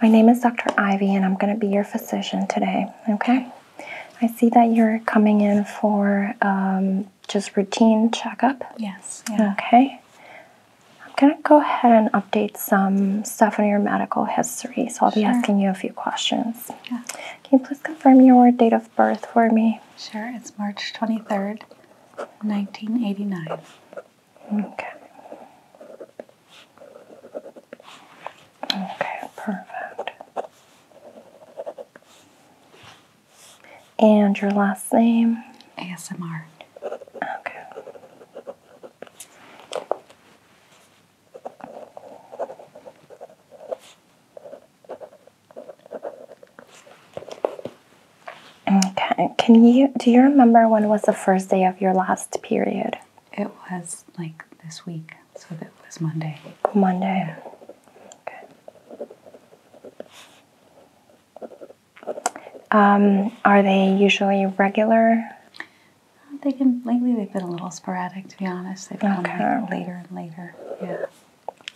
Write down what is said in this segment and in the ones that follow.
My name is Dr. Ivy, and I'm going to be your physician today. Okay, I see that you're coming in for um, just routine checkup. Yes. Okay. I'm going to go ahead and update some stuff on your medical history. So I'll be asking you a few questions. Yeah. Can you please confirm your date of birth for me? Sure. It's March 23rd, 1989. Okay. Okay, perfect. And your last name? ASMR. Okay. Okay. Can you do you remember when was the first day of your last period? It was like this week, so that was Monday. Monday. Okay. Um, are they usually regular? They can lately they've been a little sporadic to be honest. They've come okay. later and later. Yeah.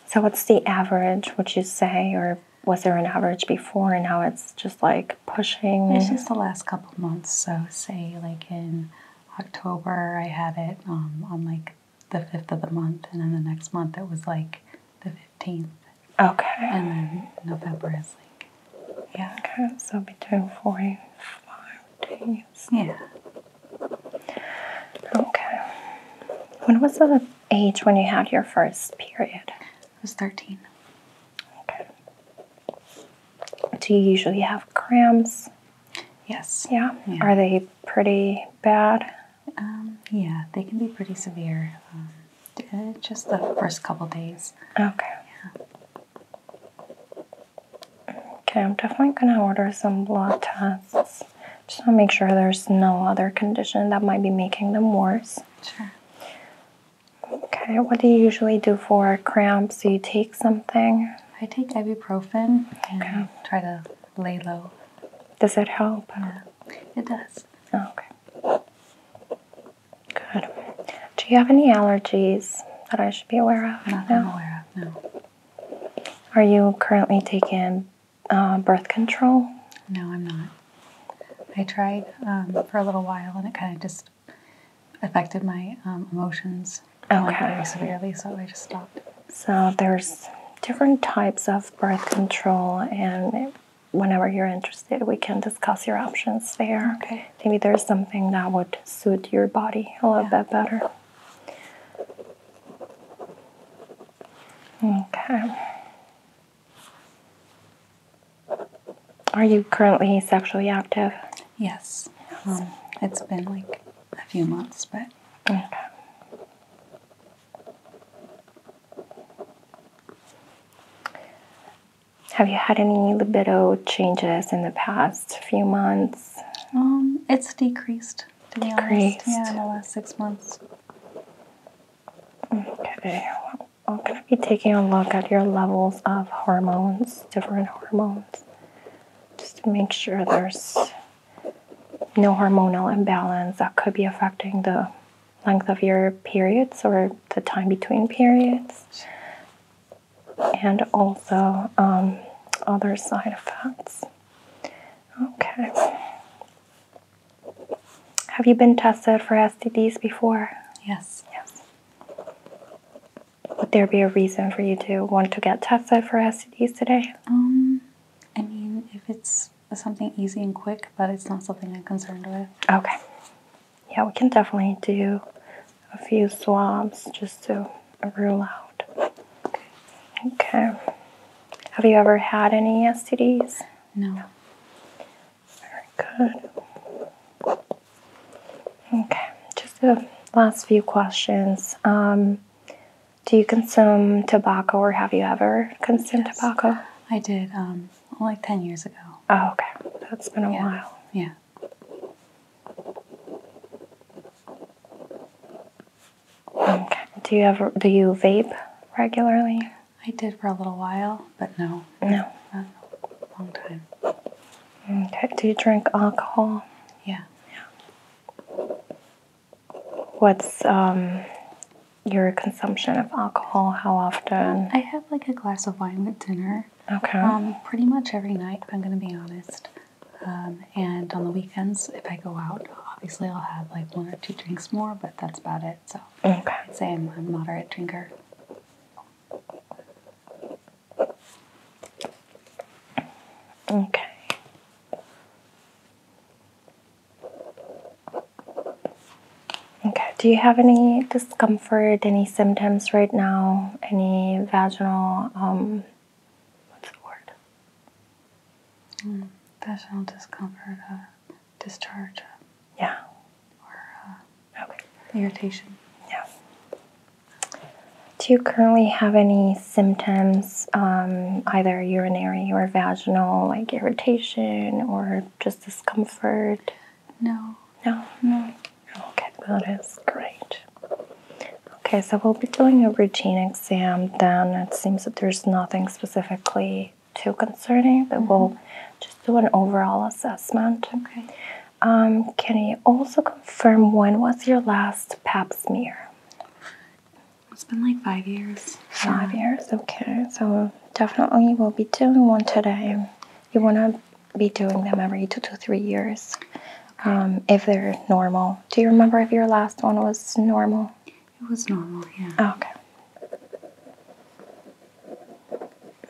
So what's the average? Would you say, or was there an average before, and now it's just like pushing. It's just the last couple months. So say like in October, I had it um, on like the fifth of the month, and then the next month it was like the fifteenth. Okay. And then November is like. Yeah. Okay. So between forty-five days. Yeah. Okay. When was the age when you had your first period? I was 13. Okay. Do you usually have cramps? Yes. Yeah? Are they pretty bad? Um, yeah, they can be pretty severe. Um, uh, just the first couple days. Okay. Yeah. Okay, I'm definitely going to order some blood tests. Just to make sure there's no other condition that might be making them worse. Sure. Okay, what do you usually do for cramps? Do you take something? I take ibuprofen and try to lay low. Does that help? Yeah, it does. Oh, okay. Good. Do you have any allergies that I should be aware of? Not no? I'm aware of, no. Are you currently taking uh, birth control? No, I'm not. I tried um, for a little while and it kind of just affected my um, emotions very severely, so I just stopped. So there's different types of birth control, and whenever you're interested, we can discuss your options there. Maybe there's something that would suit your body a little bit better. Okay. Are you currently sexually active? Yes. Um, it's been like a few months, but. Okay. Have you had any libido changes in the past few months? Um, it's decreased. To decreased. Be honest. Yeah, in the last six months. Okay. I'm going to be taking a look at your levels of hormones, different hormones, just to make sure there's no hormonal imbalance that could be affecting the length of your periods or the time between periods, and also um, other side effects. Okay. Have you been tested for STDs before? Yes. Yes. Would there be a reason for you to want to get tested for STDs today? Um, I mean, if it's something easy and quick, but it's not something I'm concerned with. Okay. Yeah, we can definitely do a few swabs just to rule out. Okay. Have you ever had any STDs? No. Very good. Okay, just the last few questions. Um, do you consume tobacco or have you ever consumed tobacco? I did, um, like 10 years ago. Oh, okay. That's been a while. Yeah. Okay. Do you ever do you vape regularly? I did for a little while, but no. No. Uh, long time. Okay. Do you drink alcohol? Yeah. Yeah. What's um your consumption of alcohol? How often? I have like a glass of wine at dinner. Okay. Um, pretty much every night, if I'm going to be honest. Um, and on the weekends, if I go out, obviously I'll have like one or two drinks more, but that's about it. So okay. I'd say I'm a moderate drinker. Okay. Okay, do you have any discomfort, any symptoms right now? Any vaginal, um, what's the word? Hmm, vaginal discomfort. Uh, discharge. Uh, yeah. Or uh, okay. irritation. Yeah. Do you currently have any symptoms, um, either urinary or vaginal, like irritation or just discomfort? No. No? No. Okay, that is great. Okay, so we'll be doing a routine exam then. It seems that there's nothing specifically too concerning, but we'll mm-hmm. just do an overall assessment. Okay. Um, can you also confirm when was your last pap smear? It's been like five years. Five years, okay. So definitely we'll be doing one today. You want to be doing them every two to three years um, if they're normal. Do you remember if your last one was normal? It was normal, yeah. Okay.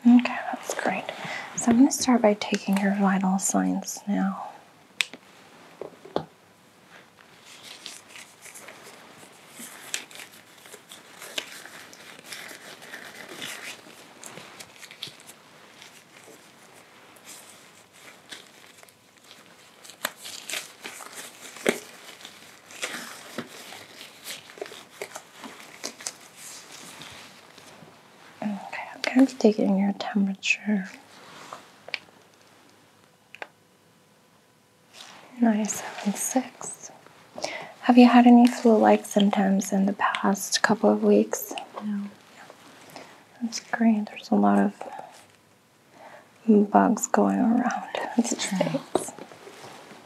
Okay, that's great. So I'm going to start by taking your vital signs now. Okay, I'm kind of taking your temperature. Nine seven six. Have you had any flu-like symptoms in the past couple of weeks? No. That's great. There's a lot of bugs going around. That's true.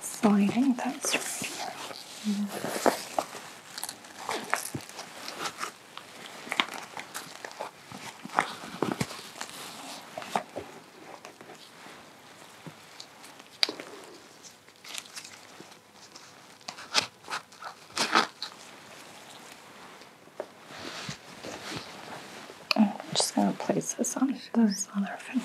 sliding. That's right. I'm just going to place this on this other finger.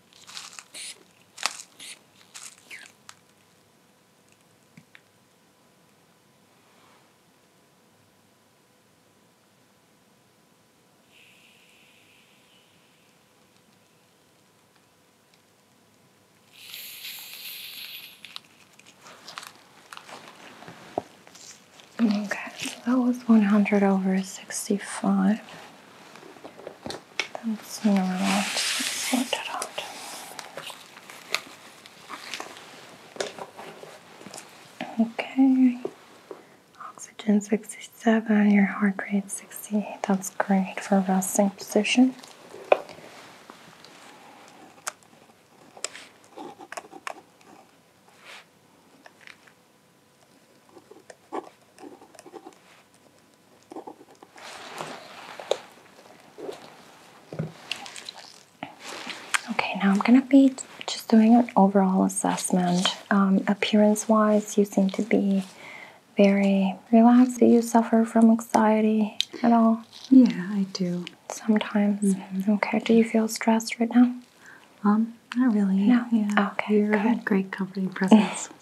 Okay, so that was 100 over 65. That's normal. Okay. Oxygen 67, your heart rate 68. That's great for resting position. Okay, now I'm going to be just doing an overall assessment. Um, appearance wise, you seem to be very relaxed. Do you suffer from anxiety at all? Yeah, I do. Sometimes. Mm-hmm. Okay, do you feel stressed right now? Um, not really. No. Yeah. Okay. You're a great comforting presence.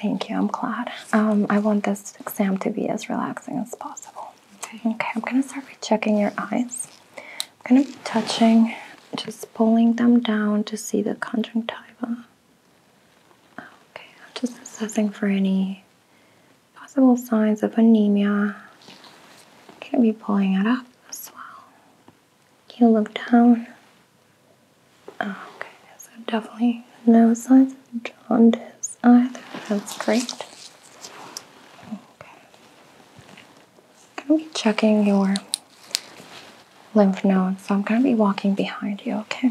Thank you. I'm glad. Um, I want this exam to be as relaxing as possible. Okay. Okay. I'm gonna start by checking your eyes. I'm gonna be touching, just pulling them down to see the conjunctiva. Okay. I'm just assessing for any possible signs of anemia. I'm be pulling it up as well. You look down. Oh, okay, so definitely no signs of jaundice either. That's great. Okay. I'm gonna be checking your lymph nodes, so I'm gonna be walking behind you, okay?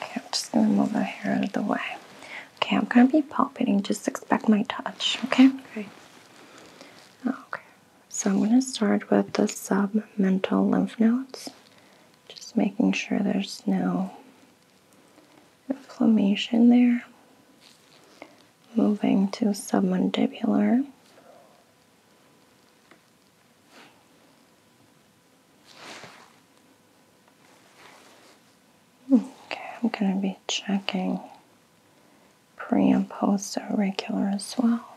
Okay, I'm just gonna move my hair out of the way. Okay, I'm gonna be palpating. Just expect my touch, okay? Okay. Okay. So I'm going to start with the submental lymph nodes, just making sure there's no inflammation there. Moving to submandibular. Okay, I'm going to be checking pre and post auricular as well.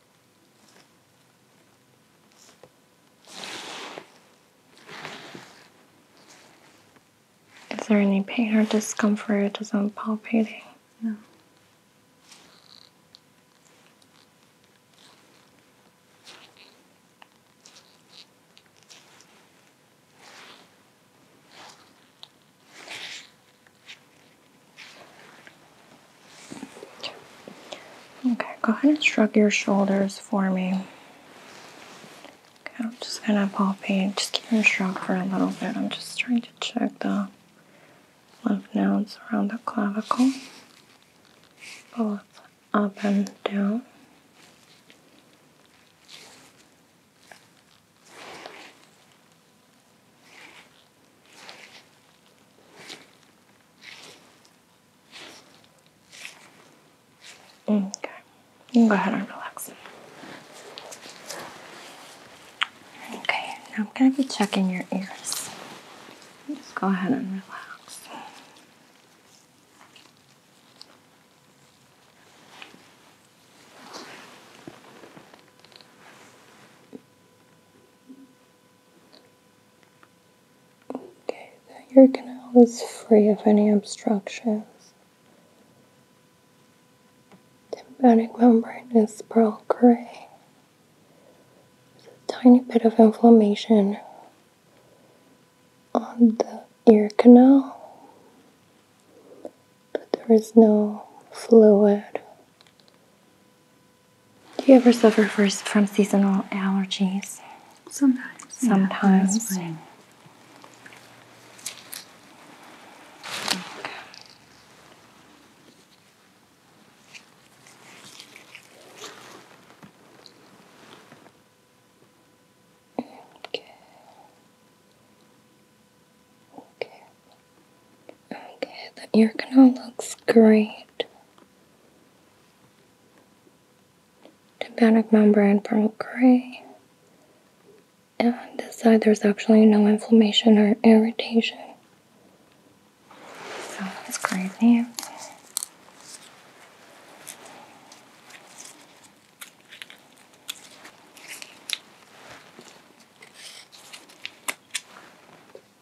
Is there any pain or discomfort as I'm palpating? No. Okay, go ahead and shrug your shoulders for me. Okay, I'm just gonna pop palpate, just keep them shrugged for a little bit. I'm just trying to check the lymph nodes around the clavicle, both up and down. Okay, you go ahead and relax. Okay, now I'm going to be checking your ears. Just go ahead and relax. Okay, that your canal is free of any obstructions. Tympanic membrane is pearl gray. There's a tiny bit of inflammation on the ear canal, but there is no fluid do you ever suffer from seasonal allergies? Sometimes. Sometimes. Okay. Okay. Okay, the ear canal looks great. Tympanic membrane pearl gray. And this side there's actually no inflammation or irritation. So that's crazy.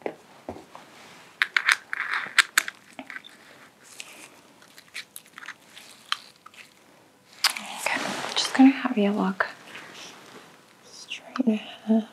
Okay, I'm just gonna have you look straight ahead.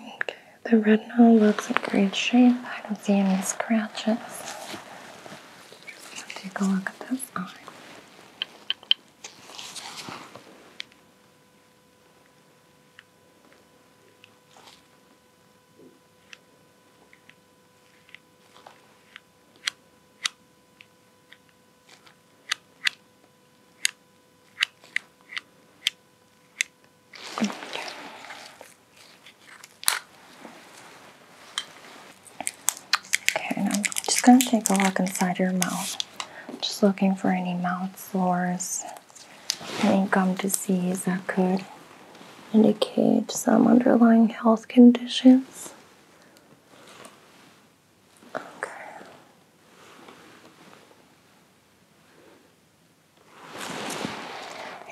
Okay, the retinal looks in great shape. I don't see any scratches. Just gonna take a look at this Okay. Okay, and I'm just going to take a look inside your mouth. Just looking for any mouth sores, any gum disease that could indicate some underlying health conditions. Okay.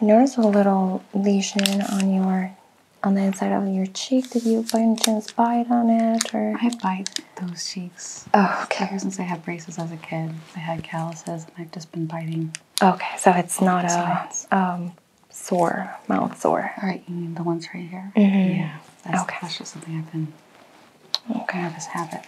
I notice a little lesion on your on the inside of your cheek. Did you by and bite on it or? I bite those cheeks. Oh, okay. Ever since I had braces as a kid, I had calluses, and I've just been biting. Okay, so it's not a um, sore mouth sore. All right, you mean the ones right here? Mm -hmm. Yeah. That's, okay. That's just something I've been. Okay. I have this habit.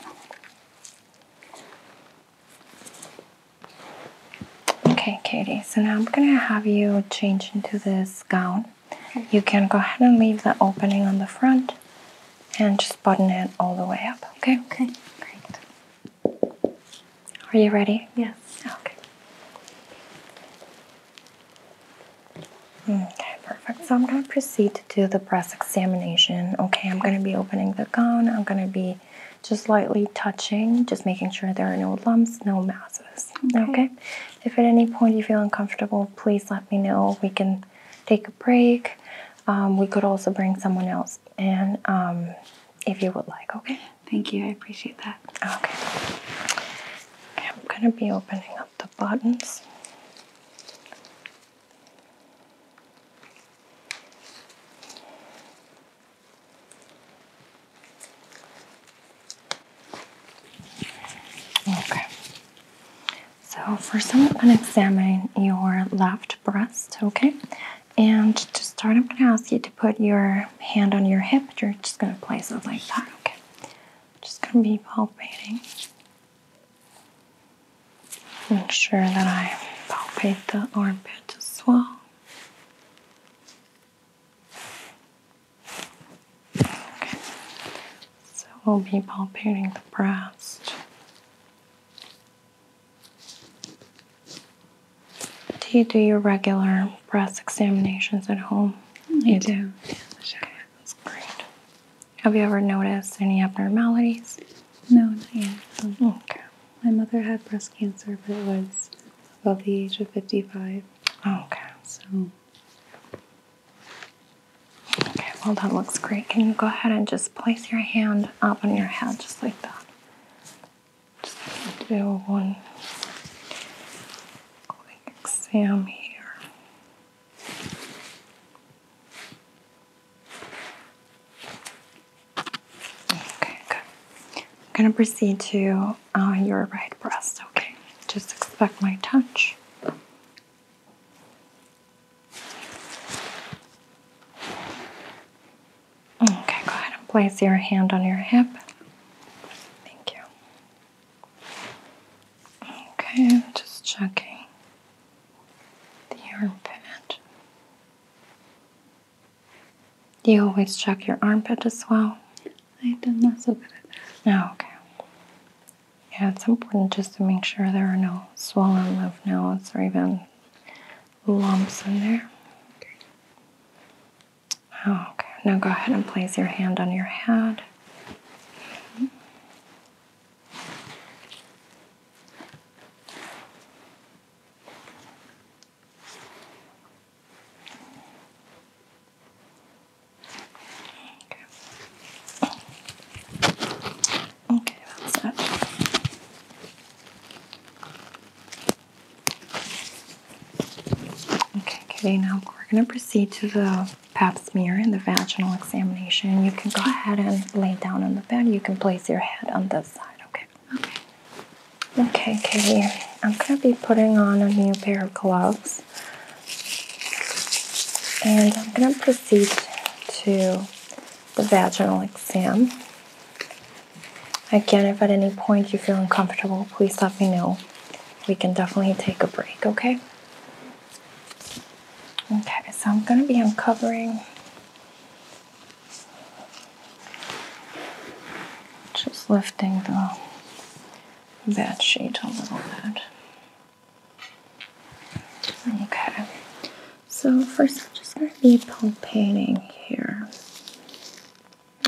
Okay, Katie, so now I'm gonna have you change into this gown. You can go ahead and leave the opening on the front and just button it all the way up, okay? Okay, great. Are you ready? Yes. Okay. Okay, perfect. So I'm going to proceed to do the breast examination. Okay, I'm going to be opening the gown. I'm going to be just lightly touching, just making sure there are no lumps, no masses. Okay. If at any point you feel uncomfortable, please let me know. We can take a break. Um, we could also bring someone else and um, if you would like. Okay. Thank you. I appreciate that. Okay. okay I'm going to be opening up the buttons. Okay. So first I'm going to examine your left breast, okay? And to start, I'm going to ask you to put your hand on your hip. You're just going to place it like that, okay? Just going to be palpating. Make sure that I palpate the armpit as well. So we'll be palpating the breast. Do you do your regular breast examinations at home? I you do. do. that's great. Have you ever noticed any abnormalities? No, not Okay. My mother had breast cancer, but it was above the age of 55. Okay, so. Okay, well, that looks great. Can you go ahead and just place your hand up on your head just like that? Just do one quick exam here. Okay, good. I'm gonna proceed to uh, your right breast, okay? Just expect my touch. Okay, go ahead and place your hand on your hip. Thank you. Okay, I'm just checking the armpit you always check your armpit as well? I'm not so good at that. Oh, okay. Yeah, it's important just to make sure there are no swollen lymph nodes or even lumps in there. Okay. Oh, okay. Now go ahead and place your hand on your head. Okay, okay that's it. Okay, Katie, now we're going to proceed to the pap smear and the vaginal examination. You can go ahead and lay down on the bed. You can place your head on this side, okay? Okay. Okay, Katie, I'm going to be putting on a new pair of gloves. And I'm going to proceed to the vaginal exam. Again, if at any point you feel uncomfortable, please let me know. We can definitely take a break, okay? Okay, so I'm going to be uncovering just lifting the bed sheet a little bit. Okay, so first I'm just going to be palpating here.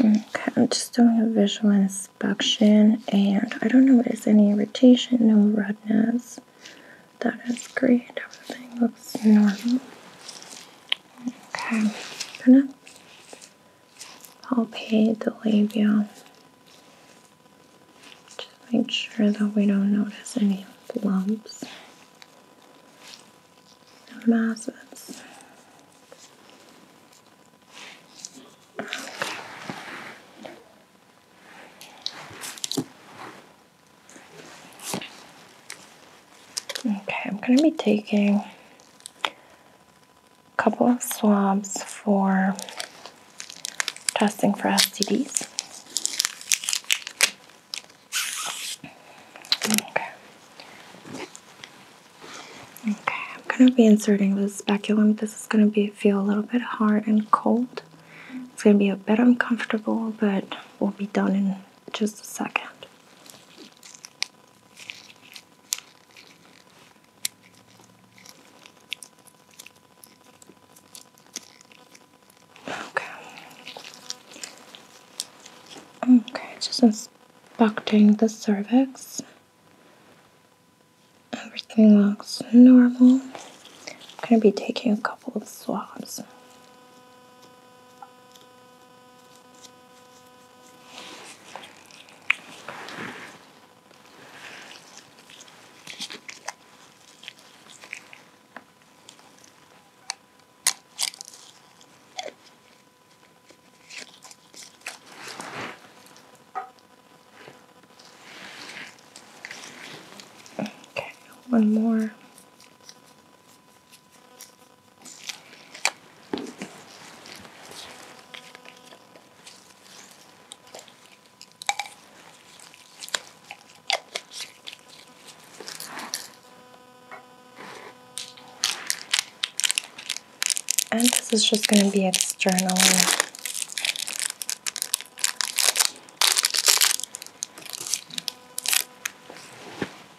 Okay, I'm just doing a visual inspection, and I don't notice any irritation, no redness. That is great, everything looks normal. Okay, I'm gonna palpate the labia. Just make sure that we don't notice any lumps and masses. Okay, I'm going to be taking a couple of swabs for testing for STDs. Okay. Okay, I'm going to be inserting the speculum. This is going to be feel a little bit hard and cold. It's going to be a bit uncomfortable, but we'll be done in just a second. Okay. Okay, just inspecting the cervix. Everything looks normal. I'm gonna be taking a couple of swabs. Okay, one more. And this is just going to be external.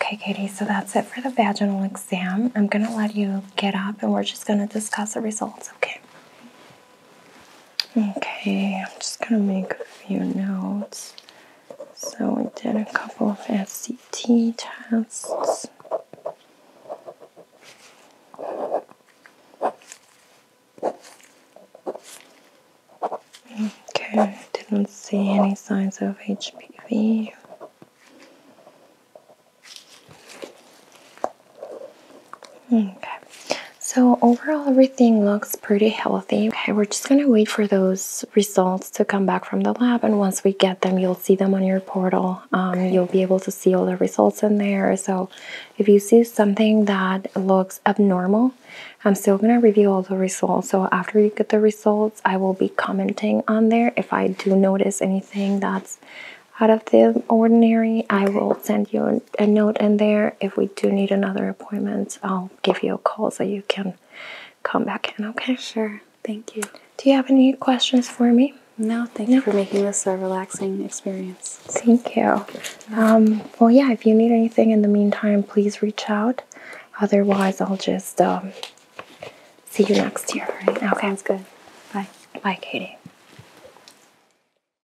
Okay, Katie, so that's it for the vaginal exam. I'm going to let you get up and we're just going to discuss the results, okay? Okay, I'm just gonna make a few notes. So we did a couple of SCT tests. Okay, didn't see any signs of HPV. Okay, so overall everything looks pretty healthy. Okay, we're just gonna wait for those results to come back from the lab, and once we get them, you'll see them on your portal. Um, You'll be able to see all the results in there. So, if you see something that looks abnormal, I'm still gonna review all the results. So after you get the results, I will be commenting on there. If I do notice anything that's out of the ordinary, I will send you an a note in there. If we do need another appointment, I'll give you a call so you can come back in, okay? Sure. Thank you. Do you have any questions for me? No, thank you for making this a relaxing experience. Thank you. Um, well, yeah, if you need anything in the meantime, please reach out. Otherwise, I'll just um, see you next year. Okay. Sounds good. Bye. Bye, Katie.